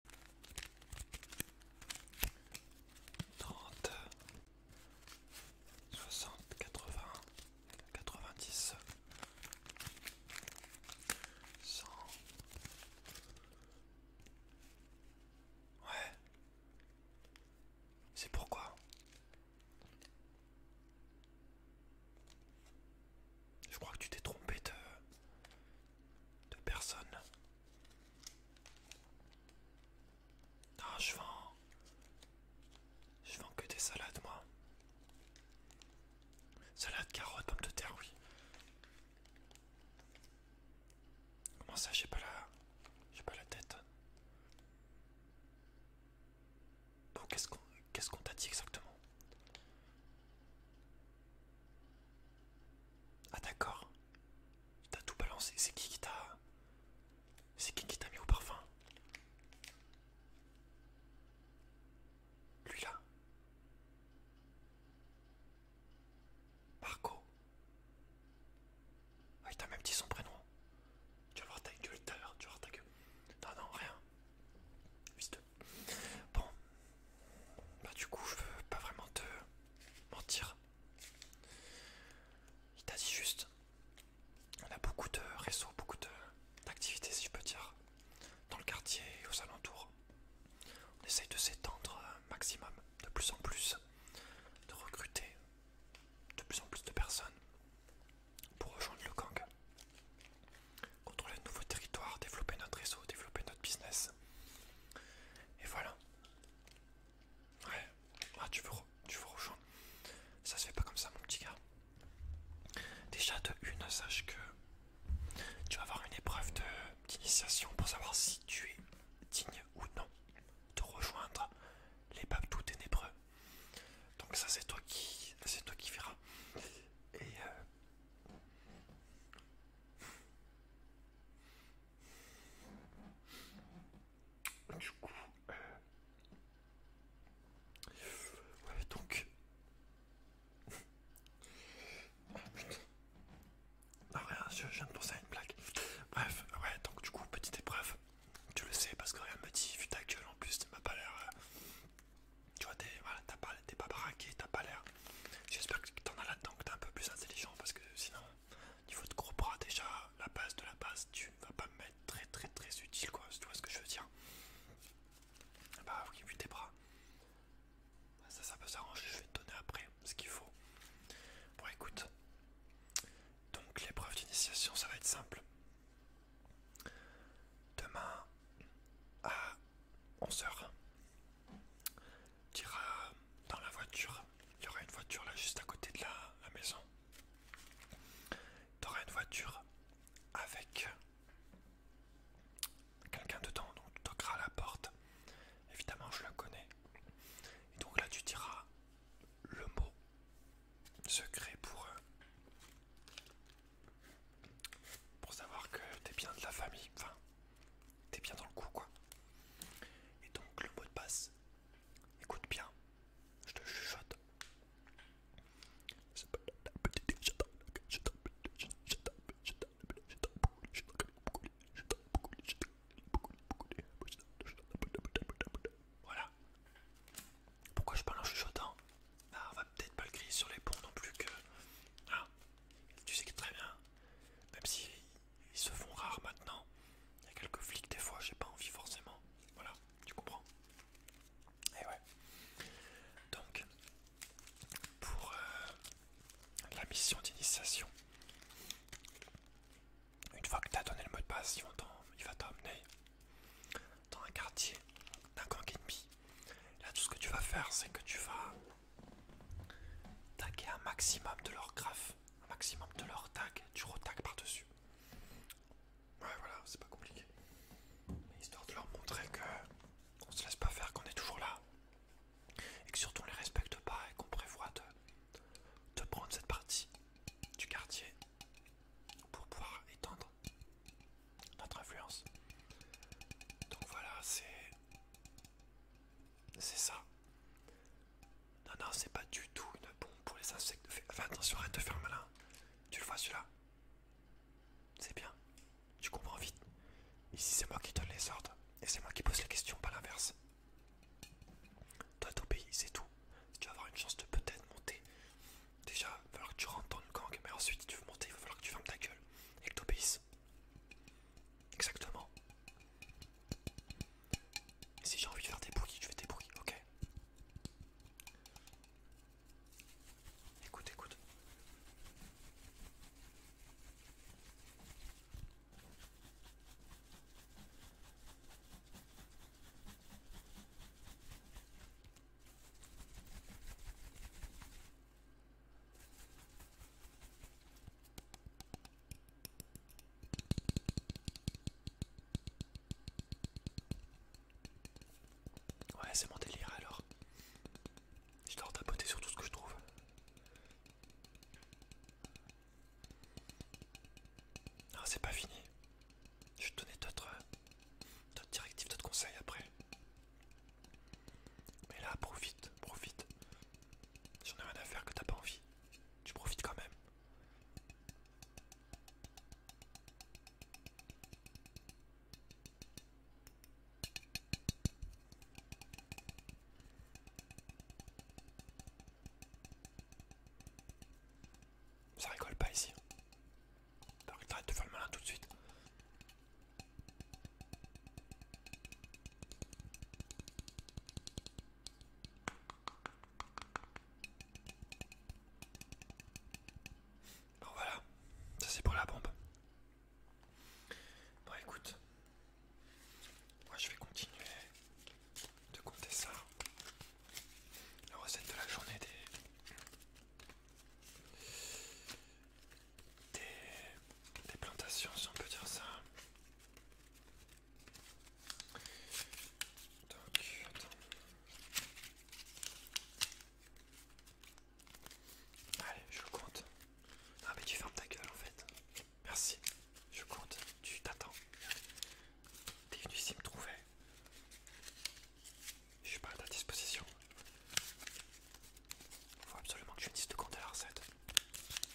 30 60 80 90 100 Ouais C'est pourquoi Je crois que tu t'es trompé de de personne ah, je vends. Je vends que des salades, moi. Salade, carottes, pommes de terre, oui. Comment ça, j'ai pas la. J'ai pas la tête. Bon, qu'est-ce qu'on qu'est-ce qu'on t'a dit exactement ah d'accord. T'as tout balancé. C'est qui qui t'a... C'est qui qui t'a mis au parfum Lui là. Marco. Ah, il t'a même dit son prénom. Tu vas voir ta gueule tu vas voir Non, non, rien. Bon, bah du coup je veux pas vraiment te mentir. Il t'a dit juste. On a beaucoup de réseaux, beaucoup d'activités si je peux dire. Dans le quartier et aux alentours. On essaye de s'étendre euh, maximum, de plus en plus, de recruter de plus en plus de personnes pour rejoindre le gang. Contrôler de nouveaux territoires, développer notre réseau, développer notre business. Et voilà. Ouais. Ah, tu veux, tu veux rejoindre Ça se fait pas comme ça, mon petit gars. Déjà, de une, sache que tu vas avoir une épreuve d'initiation pour savoir si tu es digne ou non de rejoindre les papes tout ténébreux. Donc ça, c'est toi qui, c'est toi qui verras. Et euh... Du coup, euh, ouais, donc, Non, oh, ah, rien, je viens de penser à une blague. Bref, ouais, donc du coup, petite épreuve. Tu le sais parce que rien ne me dit, vu ta gueule en plus, tu m'as pas l'air. Euh, tu vois, t'es voilà, pas, pas baraqué, t'as pas l'air J'espère que t'en as là-dedans, que t'es un peu plus intelligent parce que sinon, niveau de gros bras, déjà, la base de la base, tu vas pas me mettre très très très utile quoi, tu vois ce que je veux dire. Bah oui, vu tes bras. Bah, ça, ça peut s'arranger, je vais te donner après ce qu'il faut. Bon, écoute. Donc, l'épreuve d'initiation, ça va être simple. Demain, à 11h. Tu iras dans la voiture. Il y aura une voiture là juste à côté de la, maison. Tu auras une voiture avec quelqu'un dedans. Donc tu toqueras la porte. Évidemment, je la connais. Et donc là, tu diras le mot secret pour eux. Pour savoir que Tu es bien de la famille. Enfin, t'es bien dans le coup quoi. Et donc le mot de passe, écoute bien, je te chuchote. Voilà. Pourquoi je parle en chuchotant On va peut-être pas le crier sur les ponts non plus que... tu sais que très bien. Même si ils se font rares maintenant. Il y a quelques flics des fois, j'ai pas envie forcément. Voilà, tu comprends. Et eh ouais. Donc, pour euh, la mission d'initiation, une fois que tu as donné le mot de passe, il va t'emmener dans un quartier d'un gang ennemi. Là, tout ce que tu vas faire, c'est que tu vas taguer un maximum de leur graphe, un maximum de leur tag, du retag par-dessus. Ouais, voilà, c'est pas compliqué. Mais histoire de leur montrer que on se laisse pas faire, qu'on est toujours là. Et que surtout on les respecte pas et qu'on prévoit de prendre cette partie du quartier pour pouvoir étendre notre influence. Donc voilà, c'est c'est ça. Non, non, c'est pas du tout une bombe pour les insectes. enfin, attention, arrête de faire malin. Tu le vois celui-là C'est bien. Tu comprends vite. Ici, c'est moi qui donne les ordres. Et c'est moi qui pose les questions, pas l'inverse. Toi, t'obéis, c'est tout. Si tu vas avoir une chance de peut-être monter, déjà, il va falloir que tu rentres dans le gang. Mais ensuite, si tu veux monter, il va falloir que tu fermes ta gueule et que t'obéisses. Exactement. Si j'ai envie de faire des bruits, je fais des bruits, ok Écoute, écoute. Ouais, c'est mon délire alors. Je dois tapoter sur tout ce que je trouve. Ah, c'est pas fini. Je vais te donner d'autres euh, directives, d'autres conseils après. Mais là, profite, profite. J'en ai rien à faire que t'as pas envie. Tu profites quand même. Ça rigole pas ici. T'arrêtes de faire le malin tout de suite. Bon voilà, ça c'est pour la bombe. Bon écoute, moi je vais continuer de compter ça. La recette de la journée des, des, des plantations si on peut dire ça. Allez, je compte. Ah mais tu fermes ta gueule en fait. Merci. Je compte. Tu t'attends. T'es venu ici me trouver. Je suis pas à ta disposition. Il Faut absolument que je finisse de compter la recette.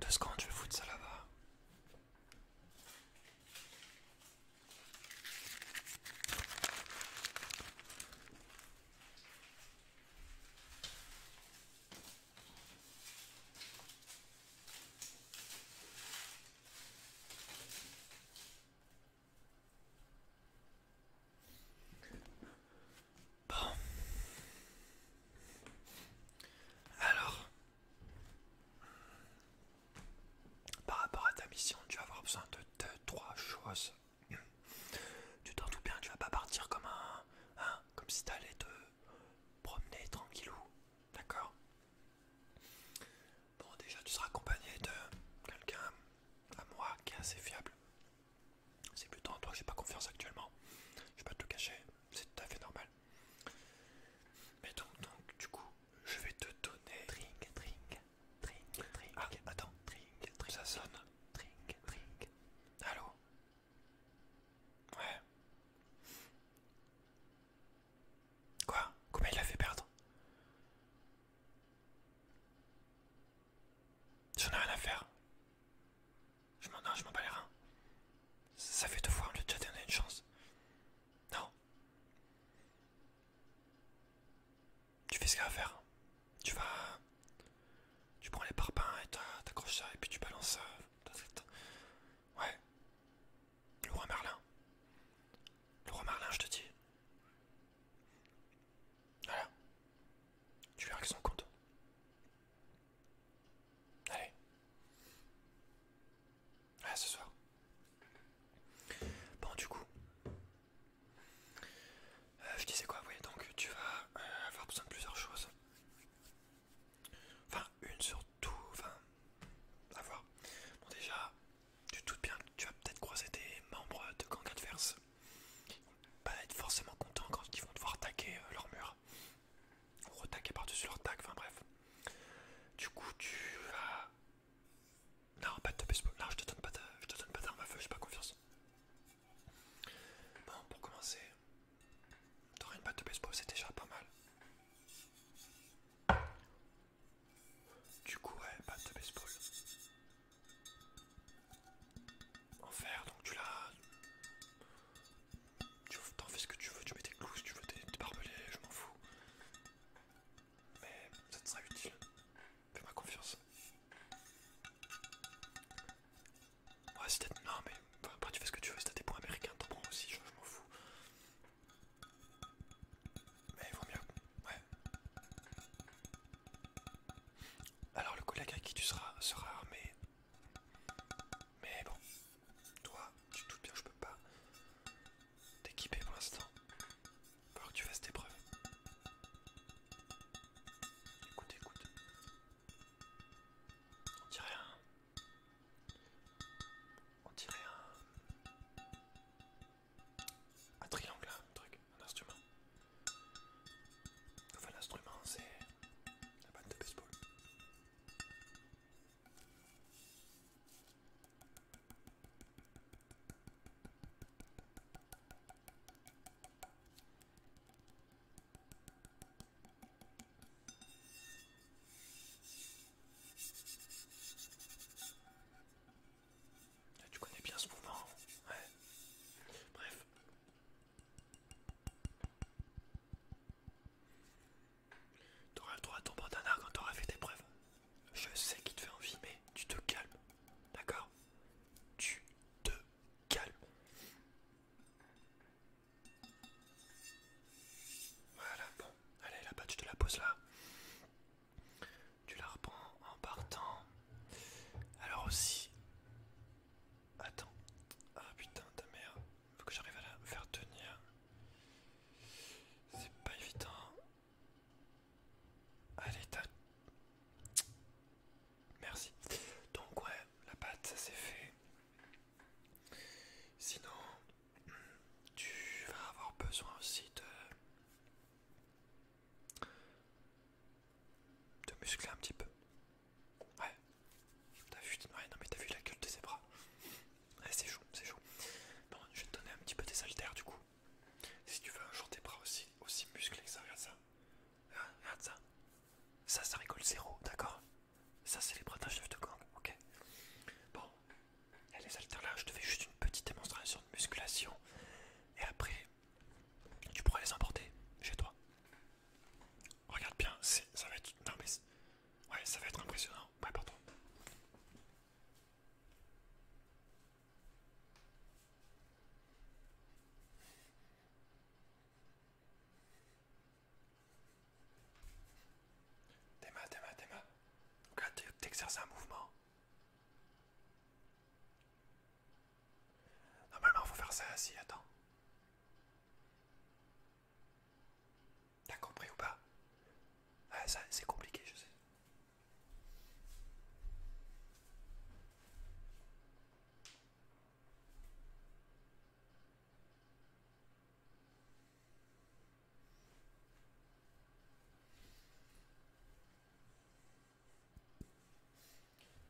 Deux secondes, je vais de ça là-bas. Bon. Alors, par rapport à ta mission, tu vas avoir besoin de deux, trois choses. Tu t'en tout bien, tu vas pas partir comme un. Hein, comme si t'allais te promener tranquillou. D'accord Bon, déjà, tu seras accompagné de quelqu'un à moi qui est assez fiable. C'est plutôt en toi que j'ai pas confiance actuellement. Je vais pas te cacher c'est tout à fait normal. Mais donc, donc du coup, je vais te donner. Drink, drink, drink, drink. Ah, attends, drink, drink. Ça sonne. Drink, drink. Allô Ouais. Quoi Comment il a fait perdre J'en ai rien à faire. Je m'en je m'en bats les reins. Ça fait deux fois, que tu as déjà donné une chance. Non. Tu fais ce qu'il y faire. Tu vas. Tu prends les parpaings et t'accroches ça et puis tu balances. ça... Euh, ouais. Le roi Merlin. Le roi Merlin, je te dis. Voilà. Tu verras qu'ils sont contents. Allez. À ah, ce soir. Bon, du coup, euh, je disais quoi voyez, donc tu vas euh, avoir besoin de plusieurs choses. Enfin, une surtout. Enfin, à voir. Bon, déjà, tu doutes bien que tu vas peut-être croiser des membres de gang adverse. pas être forcément contents quand ils vont devoir attaquer euh, leur mur retaquer par-dessus leur tac, enfin bref. Du coup, tu as. Non, pas de baseball. Non, je te donne pas de, te donne pas d'arme à feu, j'ai pas confiance. Bon, pour commencer, T'aurais une batte de baseball, c'est déjà pas mal. Du coup, ouais, batte de baseball. En fer, donc tu l'as. Tu t'en fais ce que tu veux, tu mets tes clous, tu veux tes barbelés, je m'en fous. Mais ça te sera utile. Fais-moi confiance. Ouais, peut-être... Non, mais après, tu fais ce que tu veux. Si t'as des points américains, t'en prends aussi, je, m'en fous. Mais il vaut mieux. Ouais. Alors, le collègue avec qui tu seras sera armé. Mais bon, toi, tu te bien, je peux pas t'équiper pour l'instant. Faut que tu fasses tes preuves. Écoute, écoute. On dirait un. On dirait un. Un triangle, un truc, un instrument. Enfin, l'instrument, c'est. La batte de baseball. Là, tu connais bien ce mouvement, hein ouais. Bref, T'auras le droit à ton arc quand t'auras fait tes preuves. Je sais qu'il te fait envie, mais tu te calmes. D'accord Tu te calmes. Voilà, bon. Allez, là-bas, tu te la poses là. Tu la reprends en partant. Alors aussi... Attends. Ah putain, ta mère. Faut que j'arrive à la faire tenir. C'est pas évident. Allez, t'as. Merci. Donc ouais, la pâte, ça c'est fait. Sinon, tu vas avoir besoin aussi de... de muscler un petit peu. Ouais, t'as vu, non mais t'as vu la gueule de ses bras. Ouais, c'est chaud, c'est chaud. Bon, je vais te donner un petit peu des haltères du coup. Si tu veux un jour tes bras aussi, aussi musclés ça, regarde ça. Hein, regarde ça. Ça, ça rigole zéro, d'accord Ça, c'est les bras d'un chef de gang, ok Bon, les haltères là, je te fais juste une petite démonstration de musculation. Et après, tu pourras les emporter chez toi. Regarde bien, ça va être... Non mais Ouais, ça va être impressionnant. Ouais, pardon. t'es Théma, t'es Donc Ok, t'exerces un mouvement. Normalement, faut faire ça assis, attends. T'as compris ou pas ah, ça, C'est compliqué, je sais.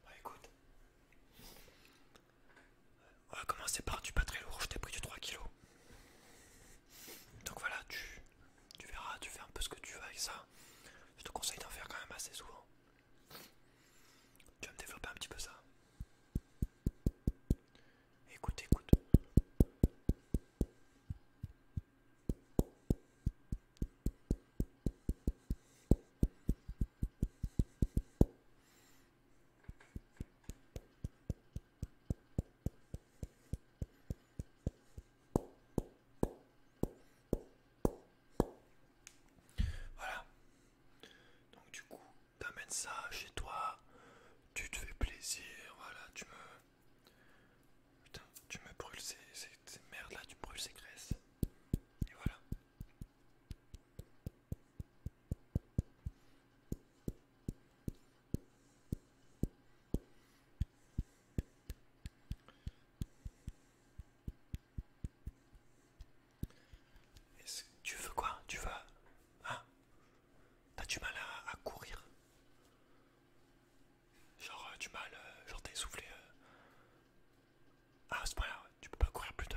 Bah, écoute, on va commencer par du pas très lourd, je t'ai pris du 3 kg. Donc voilà, tu, tu verras, tu fais un peu ce que tu veux avec ça. Je te conseille d'en faire quand même assez souvent. Tu vas me développer un petit peu ça. Écoute, écoute. Voilà. Donc du coup, t'amènes ça chez toi, tu te fais plaisir, voilà, tu me... Putain, tu me brûles ces, merdes là, tu brûles ces graisses. Et voilà. Est-ce tu veux quoi Tu veux hein T'as du mal à, courir Genre euh, du mal, euh, genre t'es essoufflé. Euh. Ah, ce point-là, tu peux pas courir plus de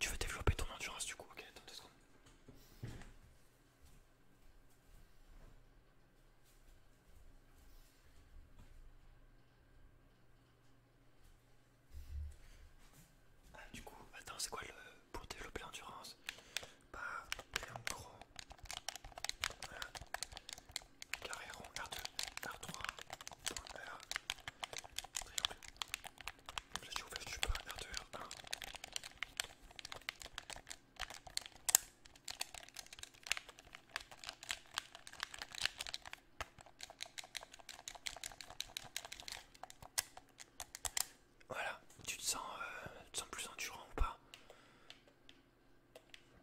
tu veux développer ton endurance du coup, ok, attends deux secondes. Ah, du coup, attends, c'est quoi le pour développer l'endurance Bah, triangle voilà. carré rond R2, R3, Flash ou flash, tu peux regarder un. Voilà, tu te sens, euh, tu te sens plus endurant ou pas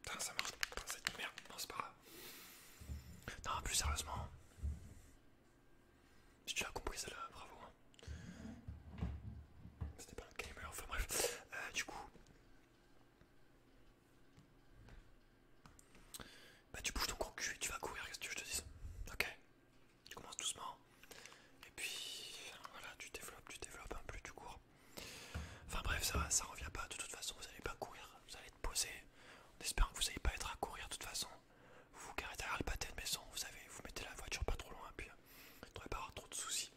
Putain, ça marche pas cette merde, non c'est pas grave. Non, plus sérieusement, si tu as compris, ça là bravo. Hein. C'était pas un gamer, enfin bref. Euh, du coup. Bah, tu bouges ton gros cul et tu vas courir, qu'est-ce que tu je te dis Ok Tu commences doucement. Et puis. Voilà, tu développes, tu développes, un peu plus tu cours. Enfin bref, ça, ça revient pas. De toute façon, vous allez pas courir, vous allez te poser. J'espère que vous n'allez pas être à courir de toute façon vous vous à derrière le de maison, vous savez, vous mettez la voiture pas trop loin, puis euh, vous ne devrait pas avoir trop de soucis.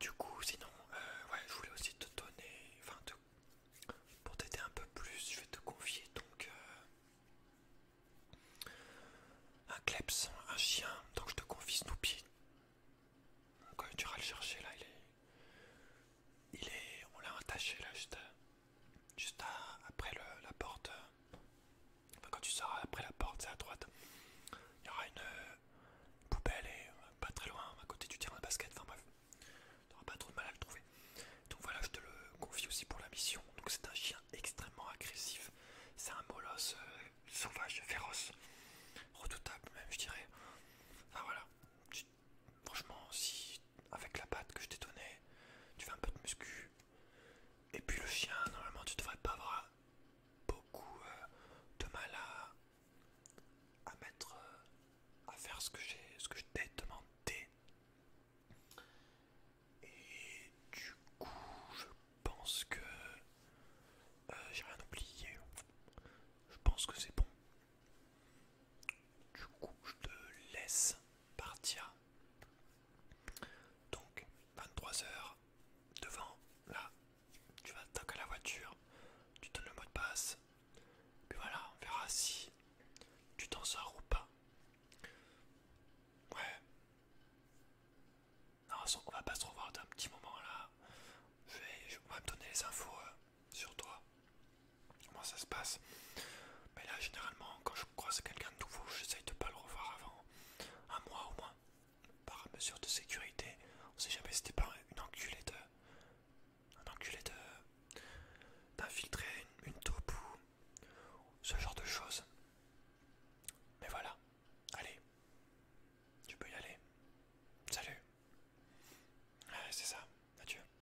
Du coup, sinon, euh, je voulais aussi te donner, enfin, pour t'aider un peu plus, je vais te confier donc euh, un kleps, un chien, donc je te confie Snoopy. Donc, tu vas le chercher là, il est. Il est. On l'a attaché là, juste. Juste après la porte. Euh, quand tu sors après la porte, c'est à droite. Il y aura une euh, poubelle et euh, pas très loin, à côté du terrain de basket. Enfin bref, t'auras pas trop de mal à le trouver. Donc voilà, je te le confie aussi pour la mission. Donc c'est un chien extrêmement agressif. C'est un molosse sauvage, féroce, redoutable même, je dirais. Enfin voilà, franchement, si avec la pâte que je t'ai donnée, tu fais un peu de muscu, et puis le chien, normalement, tu devrais pas avoir beaucoup euh, de mal à, mettre, euh, à faire ce que j'ai, ce que je t'ai demandé. Et du coup, je pense que euh, j'ai rien oublié. Je pense que c'est bon. Du coup, je te laisse partir. Donc, 23h, devant, là, tu vas attaquer la voiture, tu donnes le mot de passe, puis voilà, on verra si tu t'en sors ou pas. Ouais. Non, on va pas se revoir d'un petit moment là. Je vais, on me donner les infos. Euh, sur toi, comment ça se passe. Mais là, généralement, quand je croise quelqu'un de nouveau, j'essaye de pas le revoir avant un mois au moins, par mesure de sécurité. On sait jamais si c'était pas une enculée de. Un de. d'infiltrer une, une taupe ou. ce genre de choses. Mais voilà, allez, tu peux y aller. Salut. c'est ça, adieu.